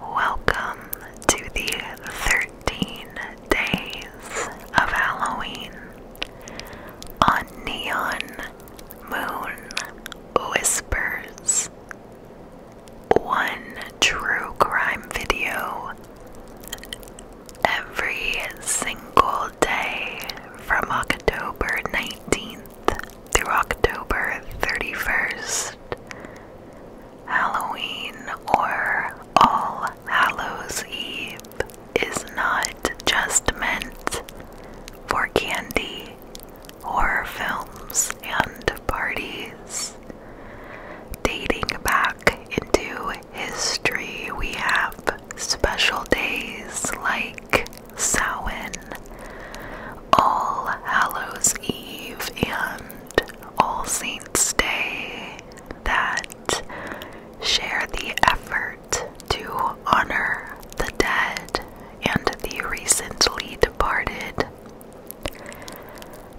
Welcome to the 13 days of Halloween on Neon Moon Whispers. One true crime video every single day from October 19th through October 31st, Halloween or All Hallows Eve is not just meant for candy, horror films, and parties. Dating back into history, we have special days like Samhain, All Hallows Eve, and All Saints' Day that share the effort to honor the dead and the recently departed.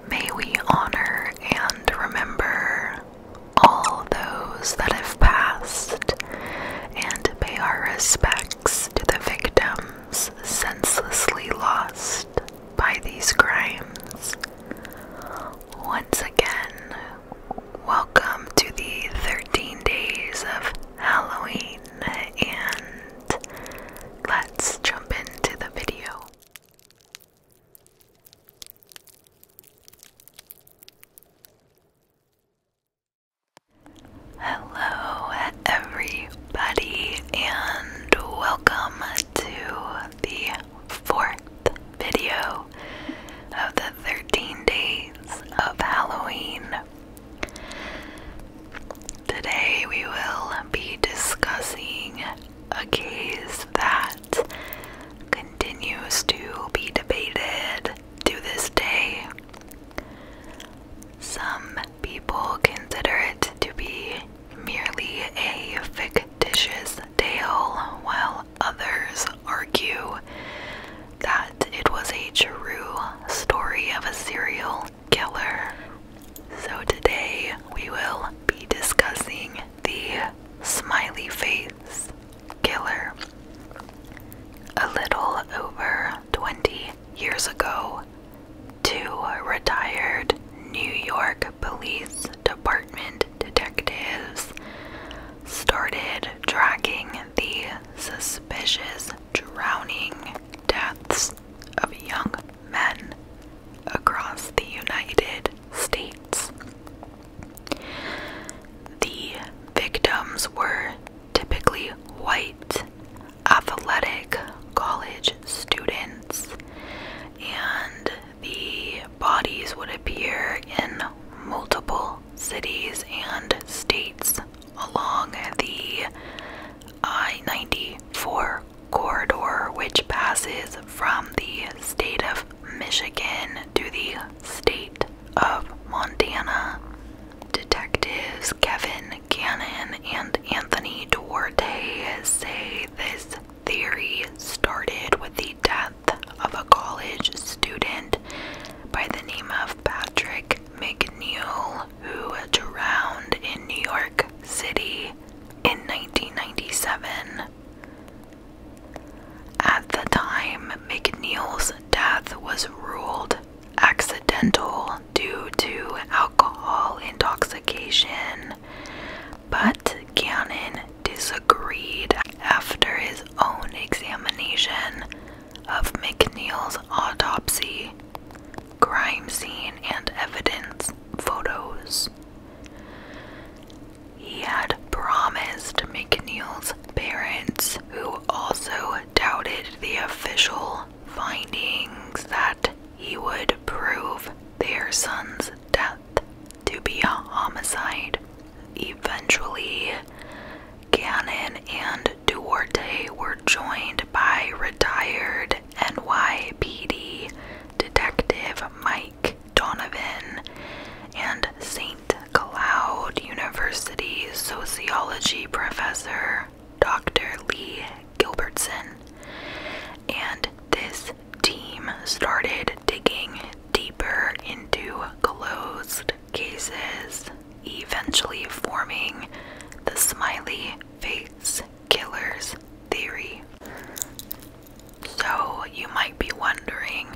May we honor and remember all those that have passed and pay our respect to the victims senselessly lost by these crimes. Once again, welcome to the 13 days of Halloween, and let's jump into the video. Hello, everybody, and welcome to the fourth video of the 13 days of Halloween. Today, we will be discussing a case that continues to be debated to this day some people consider it to be merely a fictitious tale, while others argue that it was a true story of a serial killer. So today we will be discussing the smiley face killer. A little over 20 years ago two retired New York Police Department detectives started tracking the suspicious drowning deaths of young men across the United States. The victims were typically white athletic college students, and the bodies would appear in multiple cities and states along the I 94 corridor, which passes from the state of Michigan to the state of Montana, detectives Kevin Cannon and Anthony Duarte say this theory started with the death of a college student by the name of Patrick McNeil, who drowned in New York City in 1997. At the time, McNeil's death was ruled accidental due to alcohol intoxication, but Gannon disagreed after his own examination of McNeil's autopsy, crime scene, and evidence photos. He had promised McNeil's parents, who also doubted the official findings that he would prove their son's death to be a homicide. Eventually, Cannon and Duarte were joined by retired NYPD detective Mike Donovan and St. Cloud University sociology professor Dr. Lee Gilbertson, and this team started digging deeper into closed cases, eventually forming the smiley face killers theory. So, you might be wondering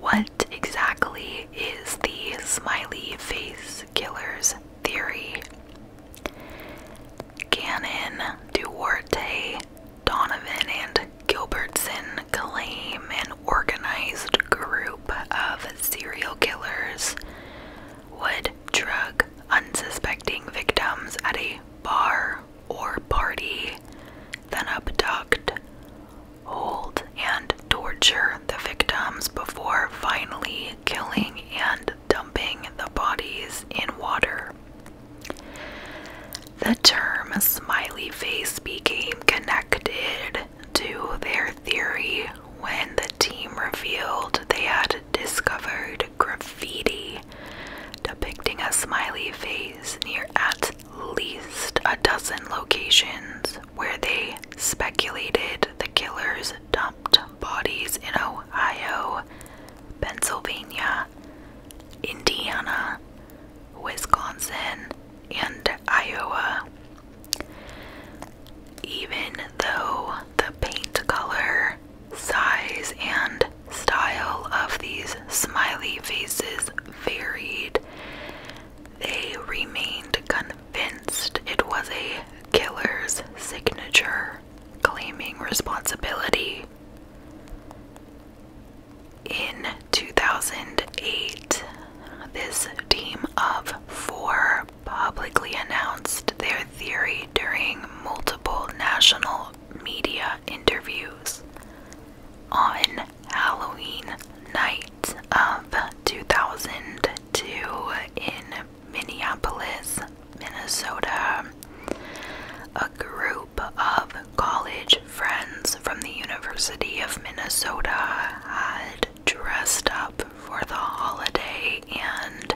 what exactly is the smiley face killers theory. Gannon, Duarte, Donovan, and Gilbertson claim an organized group of serial killers would drug unsuspecting victims at a bar or party, then abduct, hold, and torture the victims before finally killing and dumping the bodies in water. The term smiley face became connected to their theory when the team revealed they had discovered graffiti depicting a smiley face near at least a dozen locations where they speculated the killers dumped bodies in Ohio, Pennsylvania, Indiana, Wisconsin, and Iowa. Even though the paint color, size, and style of these smiley faces varied, they remained convinced convinced it was a killer's signature claiming responsibility. In 2008, this team of four publicly announced their theory during multiple national media interviews. On Halloween night of 2002 in Minneapolis, Minnesota. A group of college friends from the University of Minnesota had dressed up for the holiday and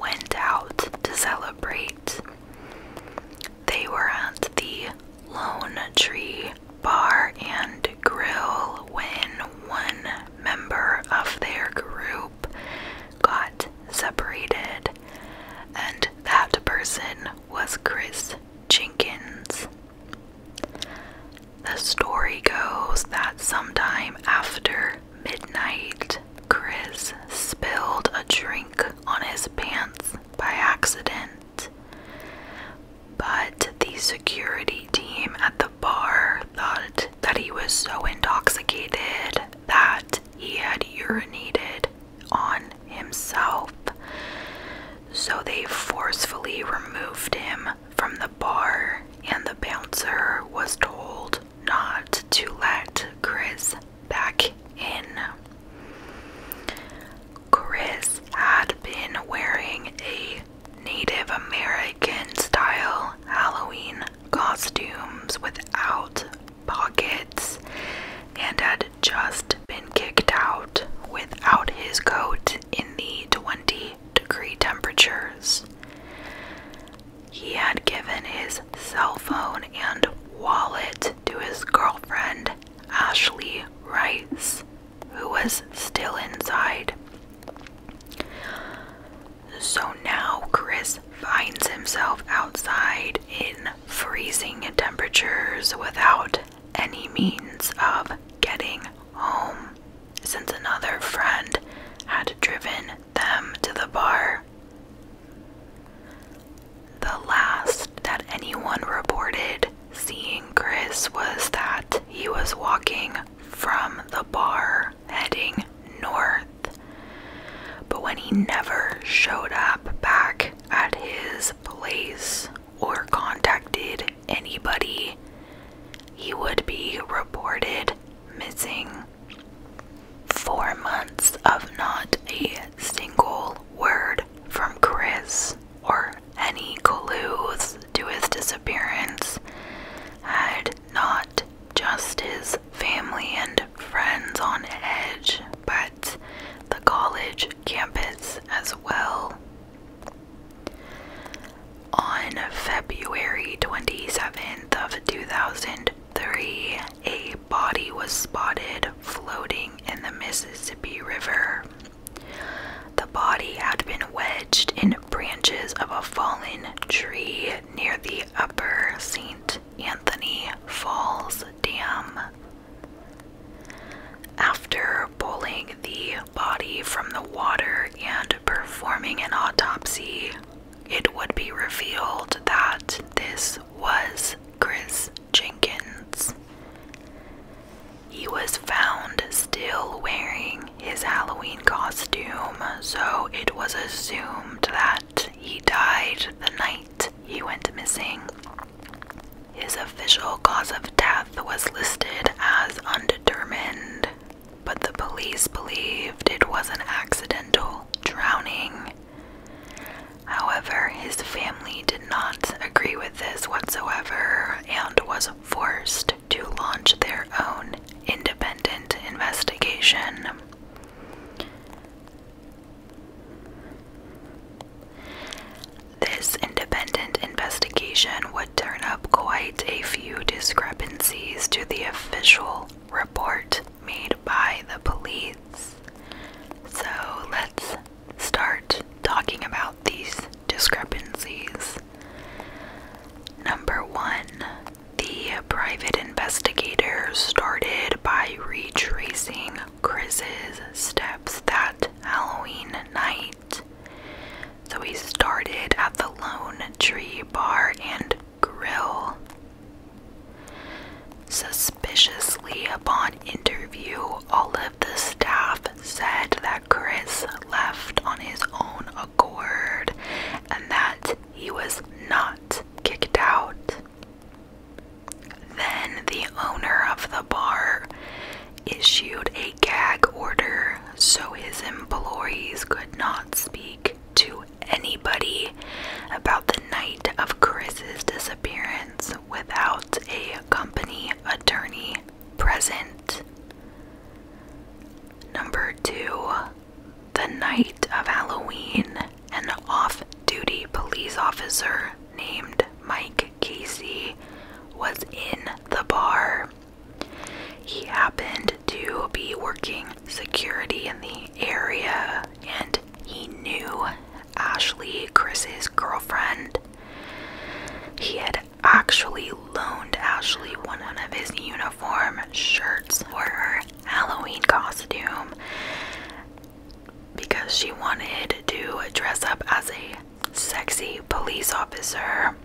went out to celebrate. They were at the Lone Tree Bar and Grill when one member of their group got separated, and that person was Chris Jenkins. The story goes that sometime after midnight, Chris spilled a drink on his pants by accident. But the security team at the bar thought that he was so intoxicated that he had urinated on himself. So they forcefully removed him from the bar, and the bouncer was told not to let Chris back in. Chris had been wearing a Native American style Halloween costumes without pockets and had just been kicked out without his coat in the 20 degree temperatures. He had given his cell phone and wallet to his girlfriend, Ashley Rice, who was still inside. So now Chris finds himself outside in freezing temperatures without any means of getting home, since another friend had driven them to the bar. The last that anyone reported seeing Chris was that he was walking from the bar heading north. But when he never showed up back at his place or contacted anybody, he would be reported missing. Four months of not a single word from Chris or any clues to his disappearance had not just his family and friends on edge, but the college campus as well. On February 27th of 2003, a body was spotted floating in the Mississippi River. The body had been wedged in branches of a fallen tree near the upper St. Anthony Falls Dam. After pulling the body from the water and performing an autopsy, it would be revealed that this was Chris Jenkins. He was found still wearing his Halloween costume, so it was assumed that he died the night he went missing. His official cause of death was listed as undetermined, but the police believed it was an accidental drowning. However, his family did not agree with this whatsoever and was forced to launch their own independent investigation. This independent investigation would turn up quite a few discrepancies to the official report made by the police. So let's start talking about these discrepancies. Number one, the private investigator started by retracing Chris's steps that Halloween night. So he started at the Lone Tree Bar and Grill. Suspiciously, upon interview, all of the staff said that Chris left on his own accord and that he was not kicked out. Then the owner of the bar issued a gag order so his employees could not speak to anybody about the night of Chris's disappearance without a company attorney present. Number two, the night of Halloween, an off duty police officer named Mike Casey was in the bar. He happened to be working security in the area and he knew Ashley, Chris's girlfriend. He had actually loaned Ashley one of his uniform shirts for her Halloween costume because she wanted to dress up as a sexy police officer.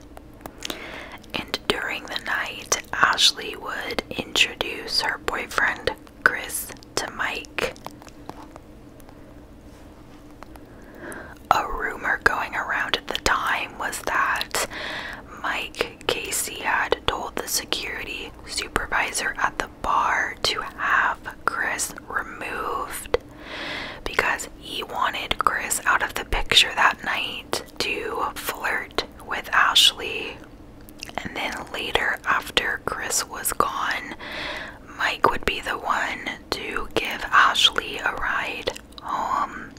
And during the night, Ashley would introduce her boyfriend Chris to Mike. A rumor going around at the time was that Mike Casey had told the security supervisor at the bar to have Chris removed because he wanted Chris out of the picture that night to flirt with Ashley. And then later, after Chris was gone, Mike would be the one to give Ashley a ride um,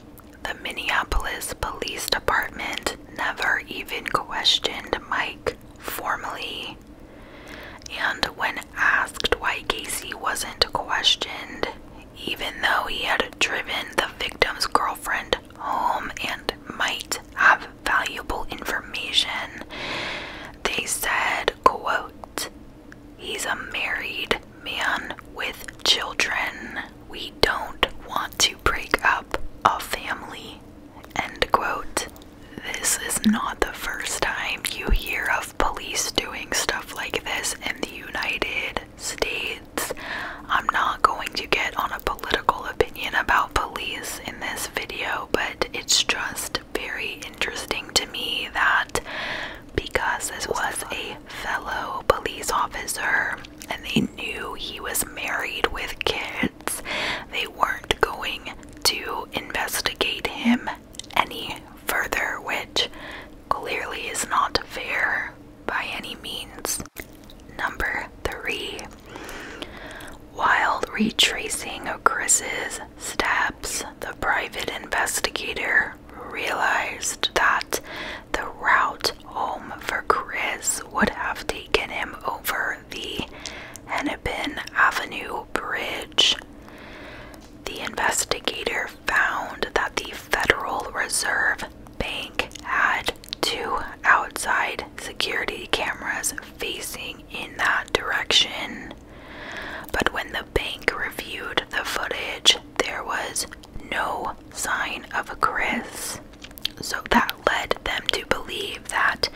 the Minneapolis Police Department never even questioned Mike formally. And when asked why Casey wasn't questioned, even though he had driven the victim's girlfriend home and might have valuable information, they said, quote, He's a married man with children. We don't want to break up a family. End quote. This is not the first time you hear of police doing stuff like this in the United States. I'm not going to get on a political opinion about police in this video, but it's just very interesting to me that because this was a fellow police officer and they knew he was married with kids. They weren't going to investigate him any further, which clearly is not fair by any means. Number three. While retracing Chris's steps, the private investigator realized that the route home for Chris would have taken him over the Hennepin Avenue Bridge. The investigator found that the Federal Reserve Bank had two outside security cameras facing in that direction. But when the bank reviewed the footage, there was no sign of Chris. So that led them to believe that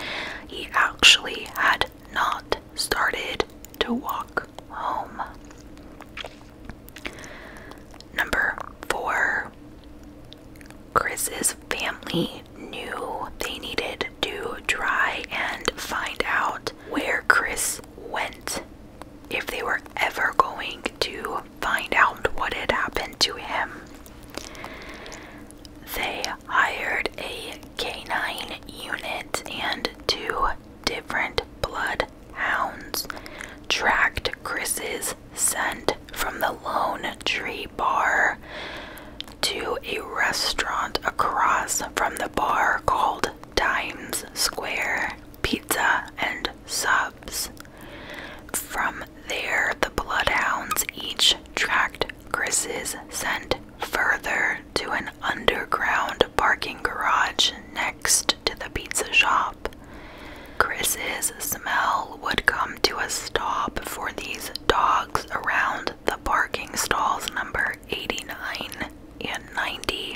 he actually had not started to walk home. Number four, Chris's family knew they needed to try and find out where Chris went if they were ever going to find out what had happened to him. They hired a canine unit and two different bloodhounds tracked Chris's scent from the Lone Tree Bar to a restaurant across from the bar called Times Square pizza, and subs. From there, the bloodhounds each tracked Chris's scent further to an underground parking garage next to the pizza shop. Chris's smell would come to a stop for these dogs around the parking stalls number 89 and 90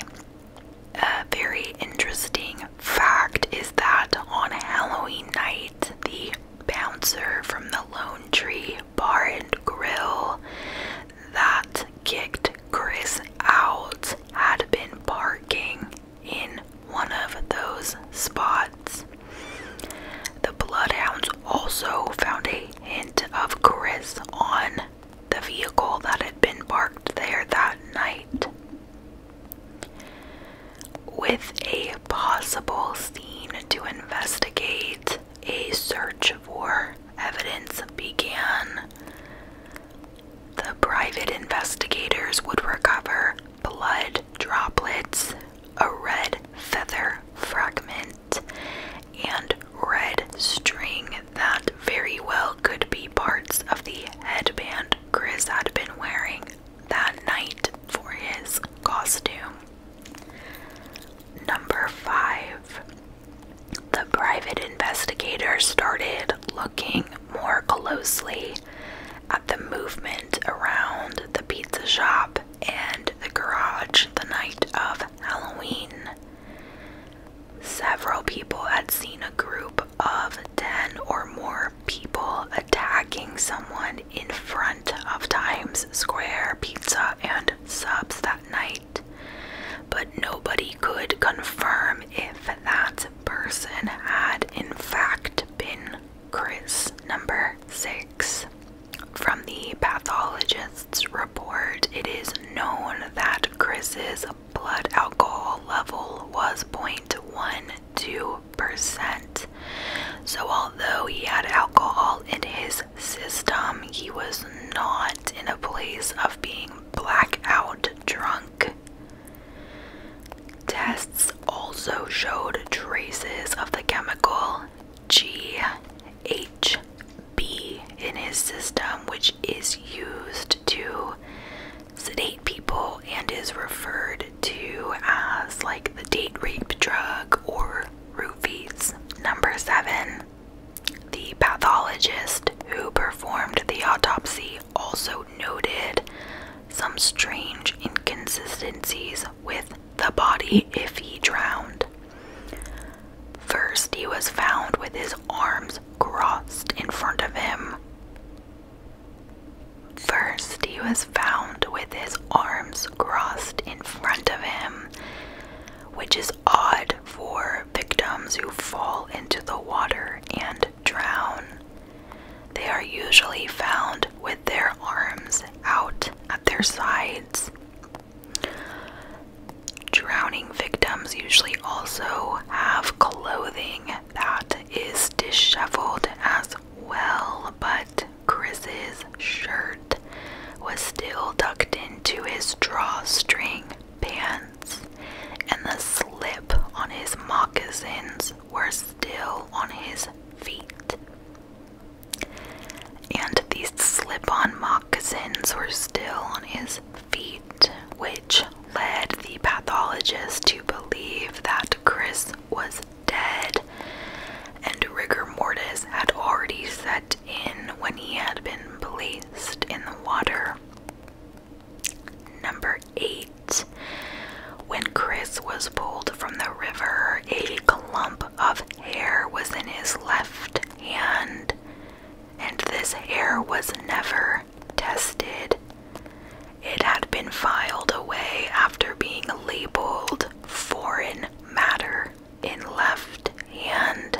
a very interesting fact is that on Halloween night, the bouncer from the Lone Tree Bar and Grill that kicked Chris out had been parking in one of those spots. The Bloodhounds also found a hint of Chris on the vehicle that had been parked there that night. With a possible scene to investigate, a search for evidence began. The private investigators would recover blood droplets, a red feather fragment, and red string that very well could be parts of the headband Chris had been wearing that night for his costume. Number five, the private investigator started looking more closely at the movement around the pizza shop and the garage the night of Halloween. Several people had seen a group of 10 or more people attacking someone in front of Times Square Pizza and Subs that night, but nobody could confirm if that person had in fact been Chris. Number 6. From the pathologist's report, it is known that Chris's blood alcohol level was 0.12%. So, although he had alcohol in his system, he was not in a place of being blackout drunk. Tests also showed traces of the chemical G H. B in his system, which is used to sedate people and is referred to as like the date rape drug or roofies. Number seven, the pathologist who performed the autopsy also noted some strange inconsistencies with the body if he drowned. First, he was found with his arms crossed in front of him. First, he was found with his arms crossed in front of him, which is odd for victims who fall into the water and drown. They are usually found with their arms out at their sides. Drowning victims usually also have clothing that is disheveled as well, but Chris's shirt was still tucked into his drawstring pants, and the slip on his moccasins were still on his feet. And these slip on moccasins were still on his feet, which led the pathologist to believe that Chris was dead and rigor mortis had already set in when he had been placed in the water. Number 8. When Chris was pulled from the river, a clump of hair was in his left hand and this hair was never tested. It had been filed away after being labeled foreign matter in left hand.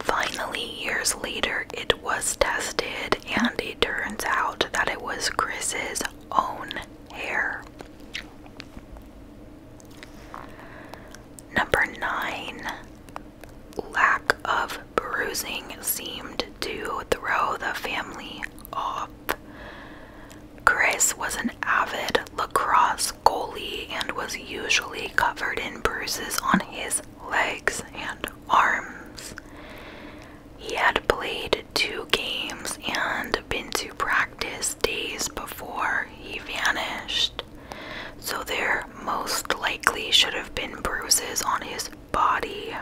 Finally, years later, it was tested, and it turns out that it was Chris's own hair. Number nine, lack of bruising seemed to throw the family off. Chris was an avid lacrosse goalie and was usually covered in bruises on his legs and arms. He had played two games and been to practice days before he vanished so there most likely should have been bruises on his body.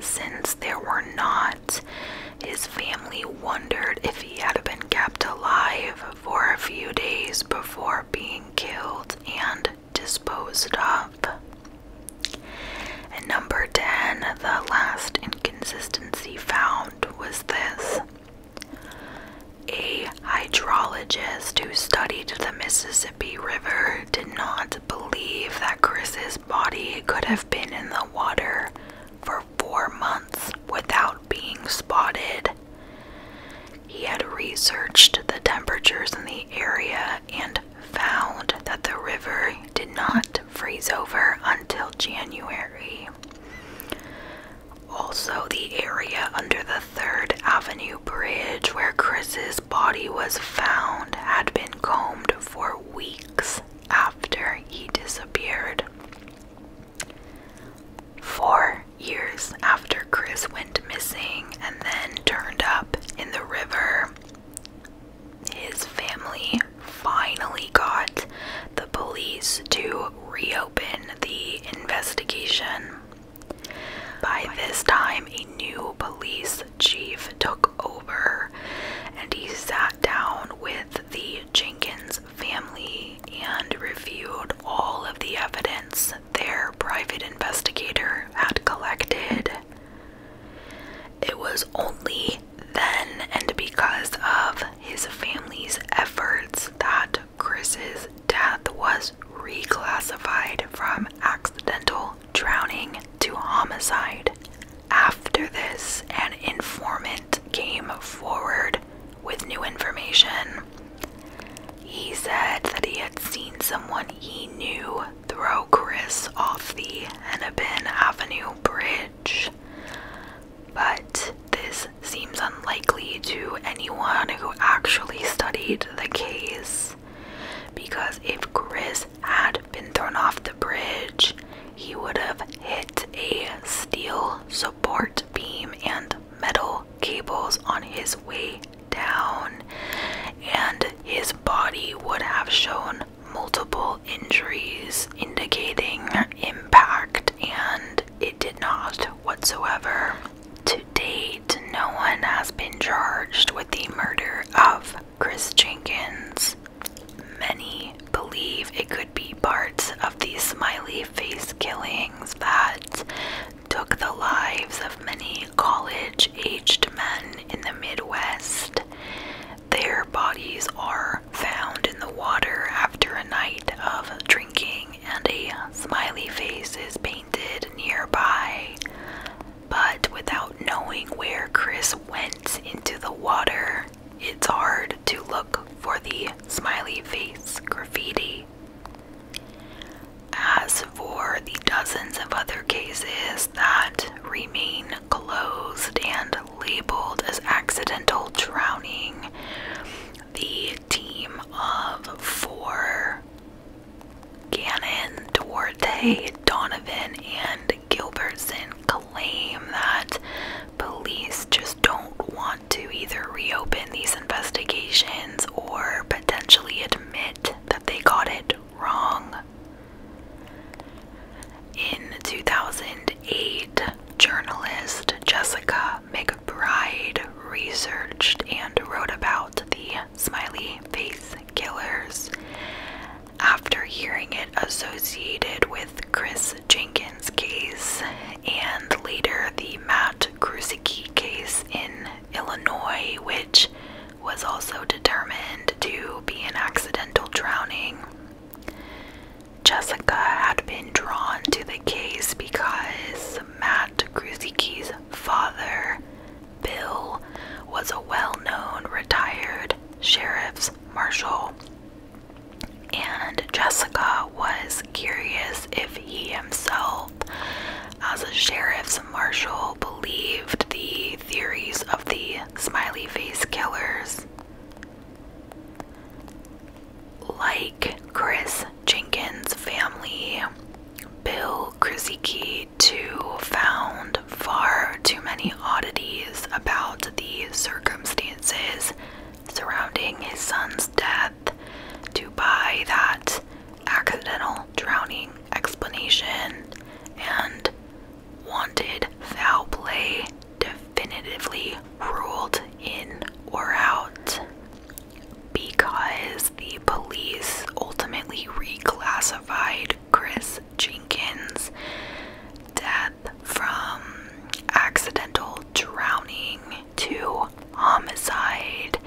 Since there were not, his family wondered if he had been kept alive for a few days before being killed and disposed of. And number 10, the last inconsistency found was this a hydrologist who studied the Mississippi River did not believe that Chris's body could have been in the water for four months without being spotted. He had researched the temperatures in the area and found that the river did not freeze over until January. Also, the area under the 3rd Avenue Bridge where Chris's body was found had been combed for weeks after he disappeared. Four years after Chris went missing and then turned up in the river, his family finally got the police to reopen the investigation. By this time, a new police chief took over and he sat down with the Jenkins family and reviewed all of the evidence their private investigator had collected. It was only then and because of his family's efforts that Chris's death was reclassified from accidental drowning to homicide. After this, an informant came forward with new information. He said that he had seen someone he knew throw Chris off the Hennepin Avenue Bridge, but this seems unlikely to anyone who actually studied the case. Because if Chris had been thrown off the bridge, he would have hit a steel support beam and metal cables on his way down, and his body would have shown multiple injuries indicating impact, and it did not whatsoever. To date, no one has been charged with the murder of Chris Jenkins. Many believe it could be part of the smiley face killings that took the lives of many college aged men in the Midwest. Their bodies are found in the water after a night of drinking and a smiley face is painted nearby. But without knowing where Chris went into the water, it's hard to look for the smiley face graffiti. As for the dozens of other cases that remain closed and labeled as accidental drowning, the team of four Gannon, Duarte, Donovan, and Gilbertson claim that police just don't want to either reopen these investigations or potentially admit that they got it wrong. In 2008, journalist Jessica McBride researched and wrote about the smiley face killers after hearing it associated with Chris Jenkins' case and later the Matt Krusicki case in Illinois, which was also determined to be an accidental drowning. Jessica had been drawn to the case because Matt Krusicki's father, Bill, was a well known retired sheriff's marshal, and Jessica was curious if he himself, as a sheriff's marshal, believed the theories of the smiley face killers like Chris Jenkins' family, Bill Krzyzewski too found far too many oddities about the circumstances surrounding his son's death to buy that accidental drowning explanation and wanted foul play definitively ruled in or out because the police ultimately reclassified Chris Jenkins' death from accidental drowning to homicide.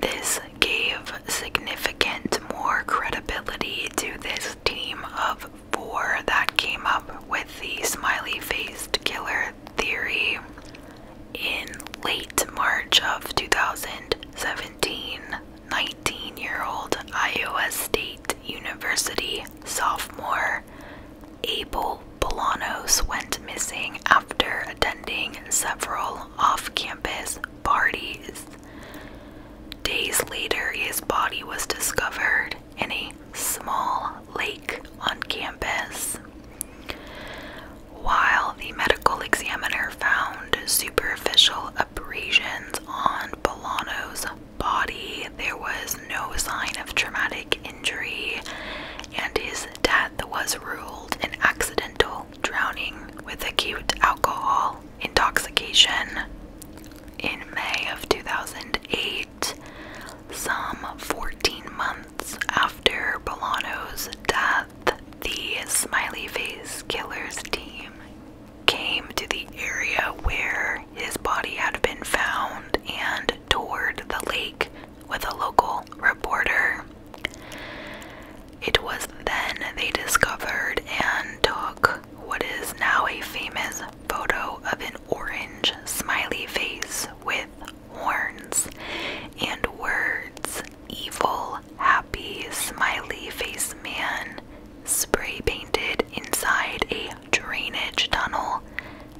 This gave significant more credibility to this team of four that came up with the smiley faced killer theory in late March of 2017. 19 year old Iowa State University sophomore Abel Bolanos went missing after attending several off campus parties. Days later, his body was discovered in a small lake on campus. While the medical examiner found superficial abrasions on Bolano's body, there was no sign of traumatic injury, and his death was ruled an accidental drowning with acute alcohol intoxication. In May of 2008, some 14 months after Bolano's death, the smiley face killer's team came to the area where his body had been found and toured the lake with a local reporter. It was then they discovered and took what is now a famous photo of an orange smiley face with horns, and words evil, happy, smiley face man spray painted inside a drainage tunnel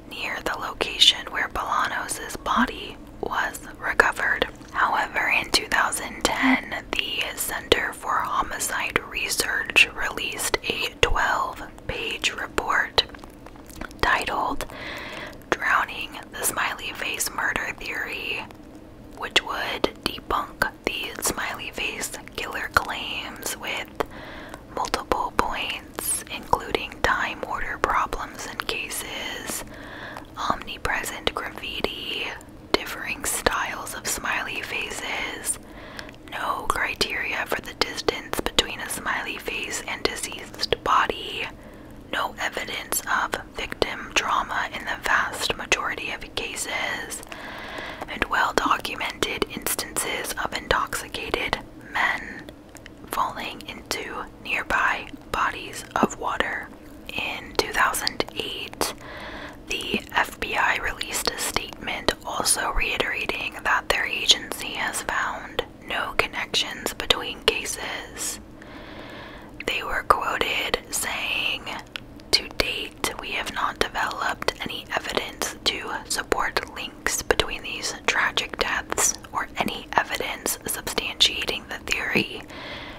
near the location where Bolanos' body was recovered. However, in 2010, the Center for Homicide Research released a 12 page report titled Drowning the Smiley Face Murder Theory, which would debunk the smiley face killer claims with multiple points, including time order problems in cases, omnipresent graffiti, differing styles of smiley faces, no criteria for the distance between a smiley face and deceased body no evidence of victim trauma in the vast majority of cases, and well documented instances of intoxicated men falling into nearby bodies of water. In 2008, the FBI released a statement also reiterating that their agency has found no connections between cases. They were quoted saying, To date, we have not developed any evidence to support links between these tragic deaths or any evidence substantiating the theory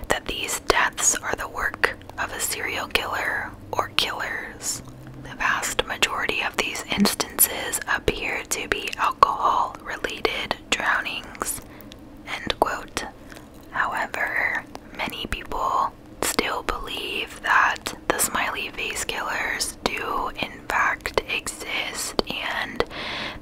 that these deaths are the work of a serial killer or killers. The vast majority of these instances appear to be alcohol related drownings. End quote. However, many people still believe that the smiley face killers do, in fact, exist and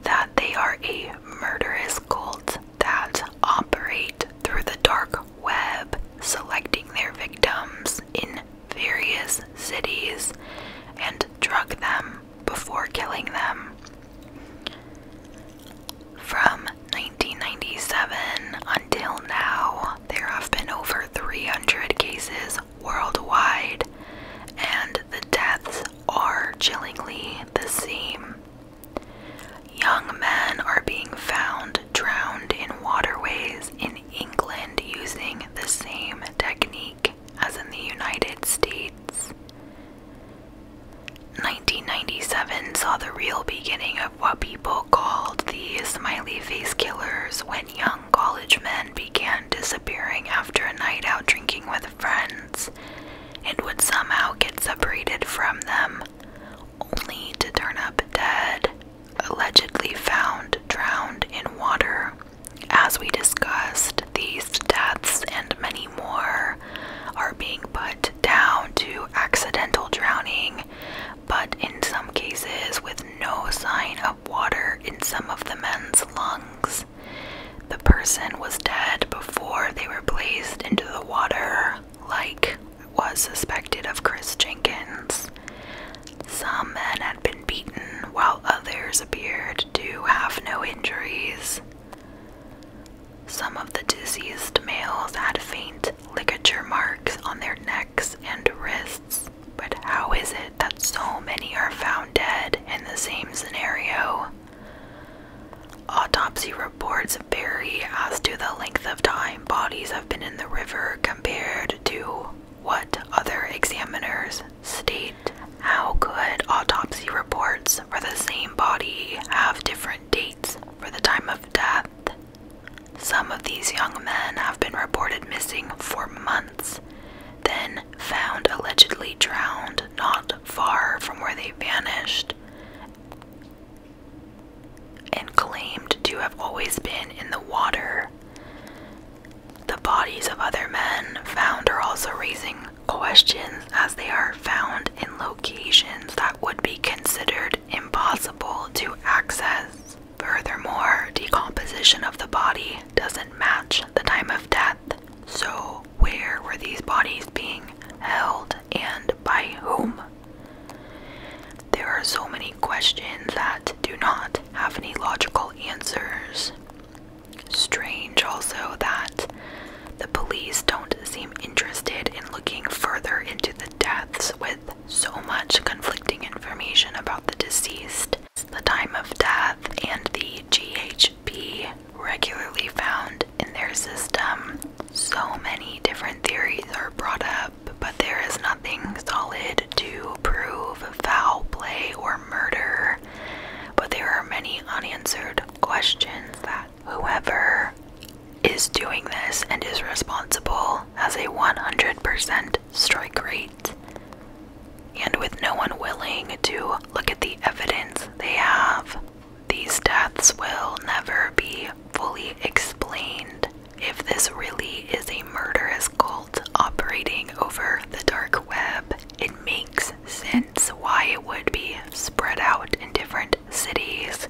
that they are a murderous cult that operate through the dark web, selecting their victims in various cities and drug them before killing them. From 1997 until now, there have been over 300 cases worldwide, and the deaths are chillingly the same. Young men are being found drowned in waterways in England using the same technique as in the United States. 1997 saw the real beginning of what people called the smiley face killers when young college men began disappearing after a night out drinking with friends and would somehow get separated from them, only to turn up dead, allegedly found drowned in water. As we discussed, these deaths and many more are being put down to accidental drowning, but in some cases, with no sign of water in some of the men's lungs. The person was dead before they were placed into the water, like was suspected of Chris Jenkins. Some men had been beaten, while others appeared to have no injuries. Some of the diseased males had faint ligature marks on their necks and wrists, but how is it that so many are found dead in the same scenario? Autopsy reports vary as to the length of time bodies have been in the river compared to what other examiners state how could autopsy reports for the same body have different dates for the time of death? Some of these young men have been reported missing for months, then found allegedly drowned not far from where they vanished, and claimed to have always been in the water. The bodies of other men found are also raising questions as they are found in locations that would be considered impossible to access. Furthermore, decomposition of the body doesn't match the time of death. So, where were these bodies being held and by whom? There are so many questions that do not have any logical answers. Strange also that the police don't seem interested in looking further into the deaths with so much conflicting information about the deceased, the time of death, and the GHB regularly found in their system. So many different theories are brought up, but there is nothing solid to prove foul play or murder. But there are many unanswered questions that whoever is doing this and is responsible has a 100% strike rate. And with no one willing to look at the evidence they have, these deaths will never be fully explained. If this really is a murderous cult operating over the dark web, it makes sense why it would be spread out in different cities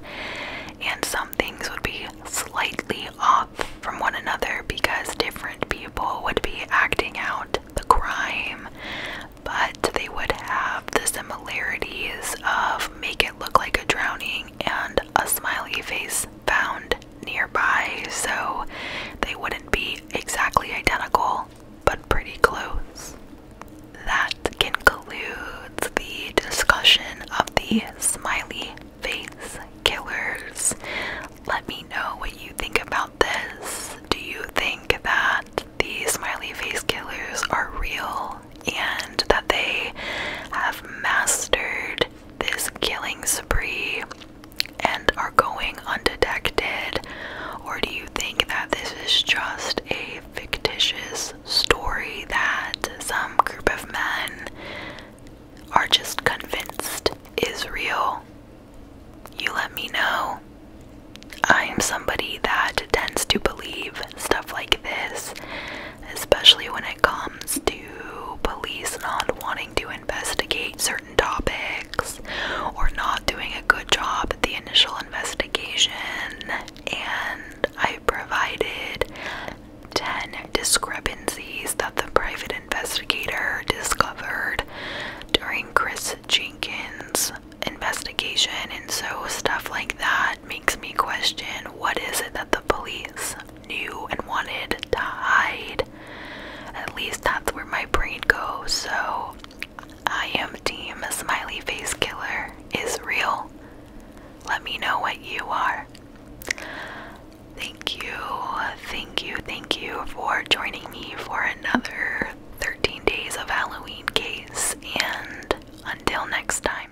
and some things would be slightly off from one another because different people would be acting out the crime, but they would have the similarities of make it look like a drowning and a smiley face found near so they wouldn't be exactly identical, but pretty close. That concludes the discussion of the smiley face killers. Let me know what you think about this. Do you think that these smiley face killers are real and that they have mastered this killing spree? and are going undetected, or do you think that this is just a fictitious story that some group of men are just convinced is real? You let me know. I am somebody that tends to believe stuff like this, especially when it comes to police not wanting to investigate certain topics or not doing a good job at the initial investigation, and I provided 10 discrepancies that the private investigator discovered during Chris Jenkins' investigation, and so stuff like that makes me question what is it that the police knew and wanted to hide at least that's where my brain goes, so I am team smiley face killer is real. Let me know what you are. Thank you, thank you, thank you for joining me for another 13 days of Halloween case, and until next time.